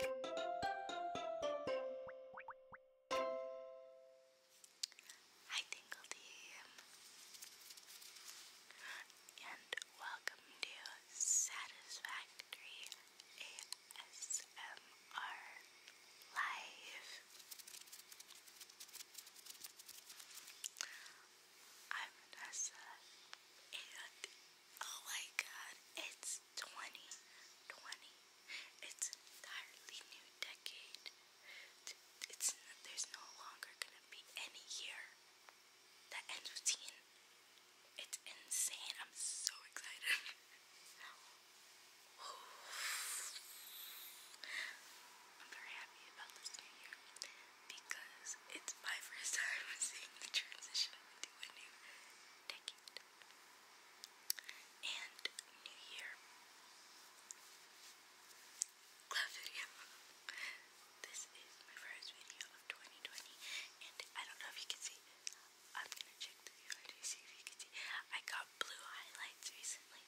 Hi Tingle and welcome to Satisfactory ASMR Live. I'm Vanessa oh my god, it's 2020. It's entirely new decade. It's there's no longer gonna be any year that ends with teen. It's insane. I'm so excited. I'm very happy about this new year because it's my first time seeing the transition into a new decade and New Year. Glove video. this is my first video of 2020, and I don't know if you can see. I'm gonna check the camera to see if you can see. I got blue highlights recently.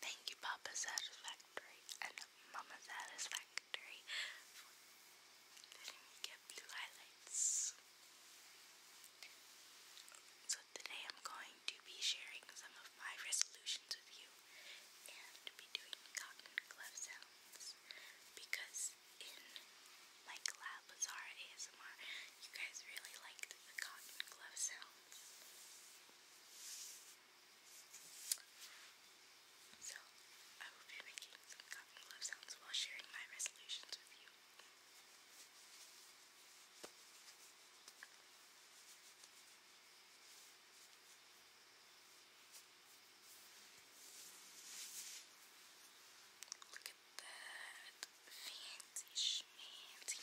Thank you, Papa Satisfactory and Mama Satisfactory secondary for letting me get blue highlights. So today I'm going to be sharing some of my resolutions with you and be doing cotton glove sounds because in my collab Bazaar ASMR you guys really liked the cotton glove sounds. So, I will be making some cotton glove sounds while sharing my resolutions with you. Look at that fancy schmancy.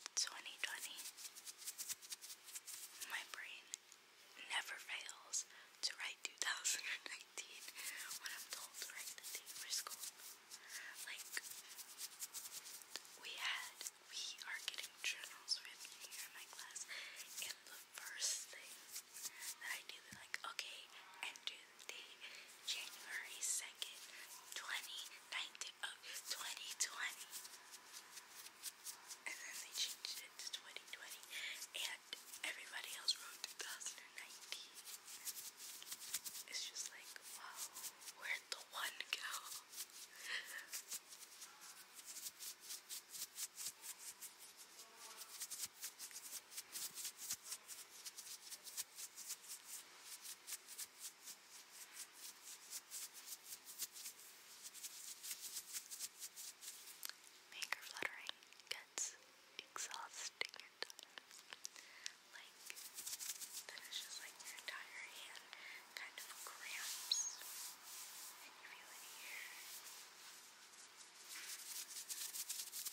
2020. My brain never fails to write 2019 when I'm told to write the date for school. Like, we had, we are getting journals for the in my class, and the first thing that I do, they like, okay, enter the January 2nd, 2019, oh, 2020. And then they changed it to 2020. And everybody else wrote 2019. It's just like, wow, where'd the one go? Make her fluttering gets exhausting and tired. Like, then it's just like your entire hand kind of cramps and you feel it here. It's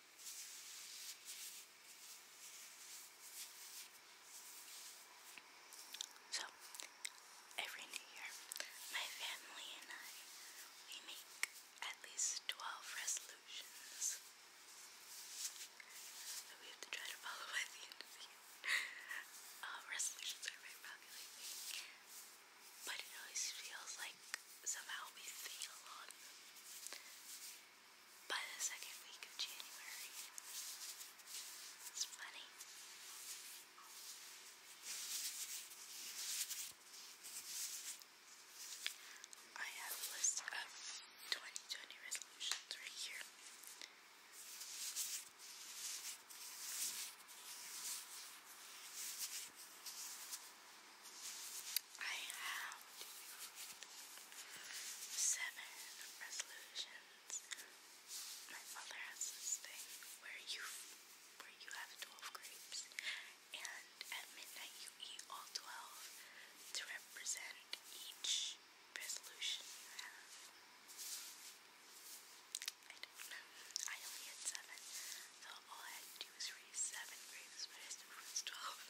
So, every new year, my family and I, we make at least 12 resolutions that we have to try to follow by the end of the year. Uh, resolutions are very popular but it always feels like somehow we fail on by the second week of January. It's funny. I have a list of 2020 resolutions right here. I have seven resolutions. My mother has this thing where you where you have twelve grapes, and at midnight you eat all twelve to represent each resolution you have. I don't know. I only had seven, so all had to grapes, but I still was twelve.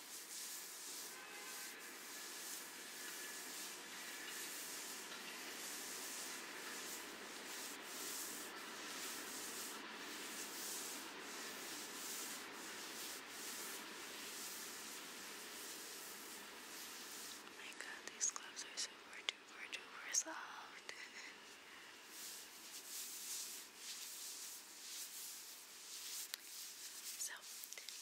Oh my god, these gloves are super duper duper soft. so,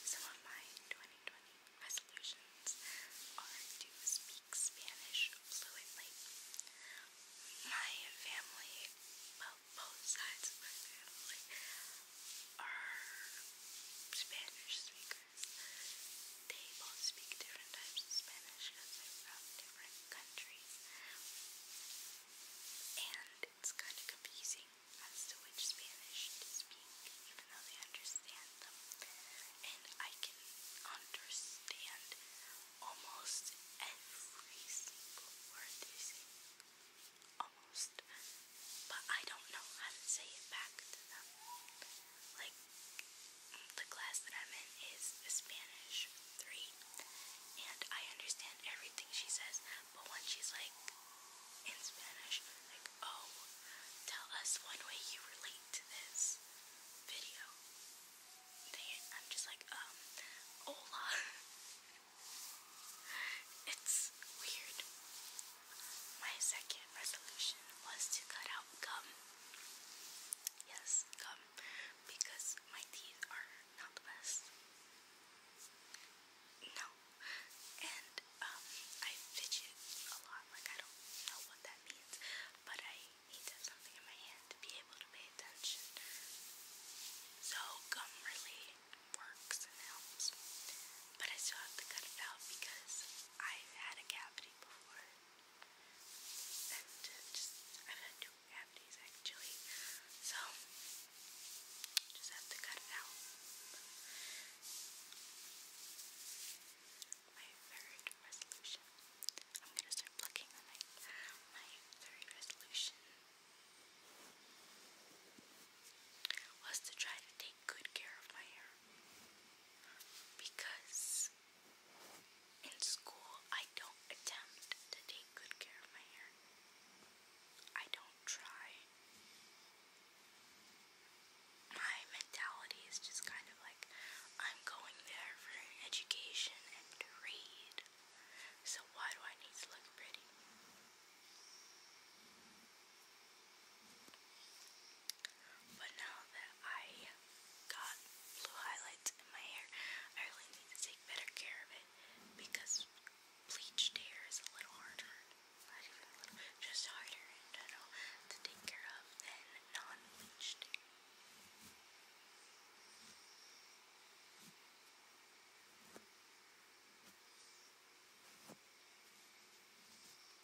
some of my 2020 resolutions are to speak Spanish fluently. My family, both sides of my family, are Spanish speakers. They both speak different types of Spanish because they're from different countries. And it's kind of confusing as to which Spanish to speak, even though they understand them. And I can understand almost every single word they say. Almost. But I don't know how to say it back to them. Like, the class that I'm in is Spanish 3, and I understand everything she says, but when she's like in Spanish, like, Oh, tell us one way you relate to this video. I'm just like, um, hola. it's weird. My second resolution was to cut out gum. Yes, gum. Because my teeth are not the best. No, out. And um, I fidget a lot, like I don't know what that means, but I need something in my hand to be able to pay attention. So gum really works and helps, but I still have to cut it out because i had a cavity before. And just, I've had two cavities actually, so just have to cut it out. My third resolution. I'm gonna start plucking on my my third resolution was to try to take good care of my hair because in school I don't attempt to take good care of my hair. I don't try my mentality is just kind of like I'm going there for education and to read. So why do I need to look pretty? But now that I got blue highlights in my hair, I really need to take better care of it because bleached hair is a little harder, just harder in general to take care of than non-bleached hair.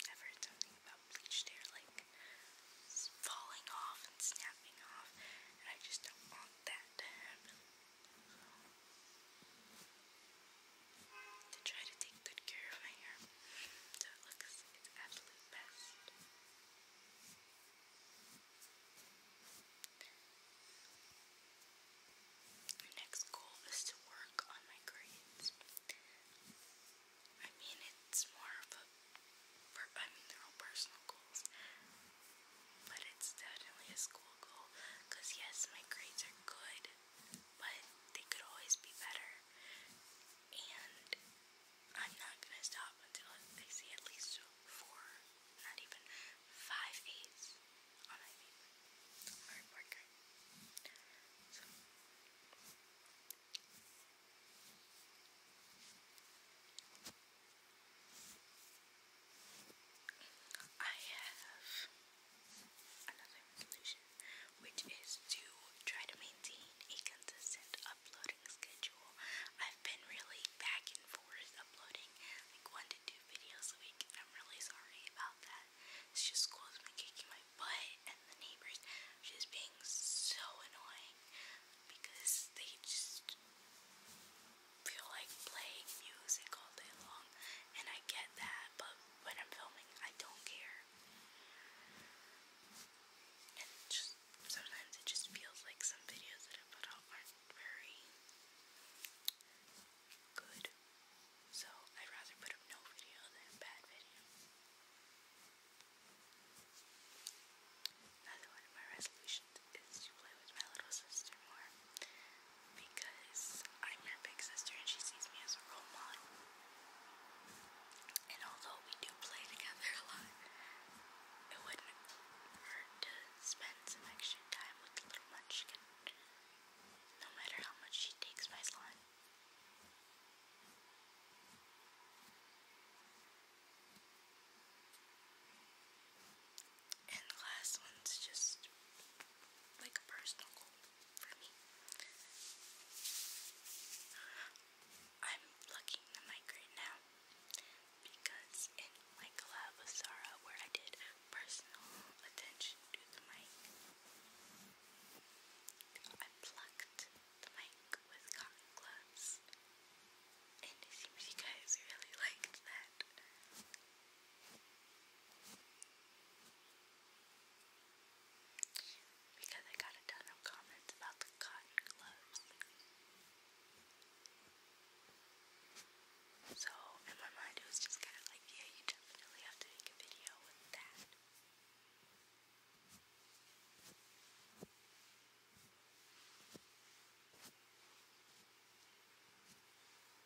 i about bleached hair like falling off and snapping off, and I just don't want that to happen to try to take good care of my hair so it looks its absolute best. My next goal is to work on my grades. I mean, it's more of a, I mean, they're all personal goals, but it's definitely a school goal because yes, my grades are good but they could always be better. And I'm not gonna stop until I see at least four, not even five eights on my report card. So. I have another resolution, which is to try to maintain a consistent uploading schedule. I've been really back and forth uploading like one to two videos a week, and I'm really sorry about that. It's just school's been kicking my butt, and the neighbors are just being so annoying because they just feel like playing music all day long, and I get that, but when I'm filming. I don't care. And just sometimes it just feels like some videos that I put out aren't very good. So I'd rather put up no video than a bad video. Another one of my resolutions is to play with my little sister more because I'm her big sister and she sees me as a role model. And although we do play together a lot, it wouldn't hurt to spend some extra time with the little munchkin, no matter how much she takes my slime. And last one's just like a personal goal for me. I'm looking the mic right now because in my collab with where I did personal attention to the mic, I plucked the mic with cotton gloves and it seems you guys really liked that. Because I got a ton of comments about the cotton gloves. So, in my mind, it was just kind of like, yeah, you definitely have to make a video with that.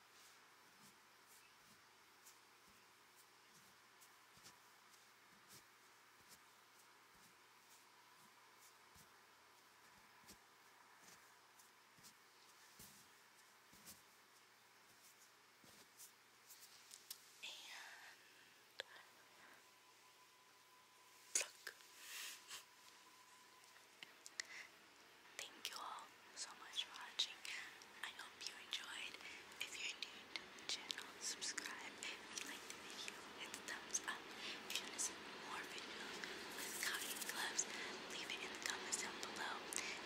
And pluck. Thank you all so much for watching. I hope you enjoyed. If you're new to the channel, subscribe. If you like the video, hit the thumbs up. If you want more videos with cotton gloves, leave it in the comments down below.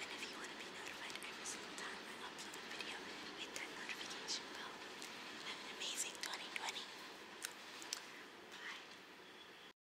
And if you want to be notified every single time I upload a video, hit that notification bell. Have an amazing 2020. Bye.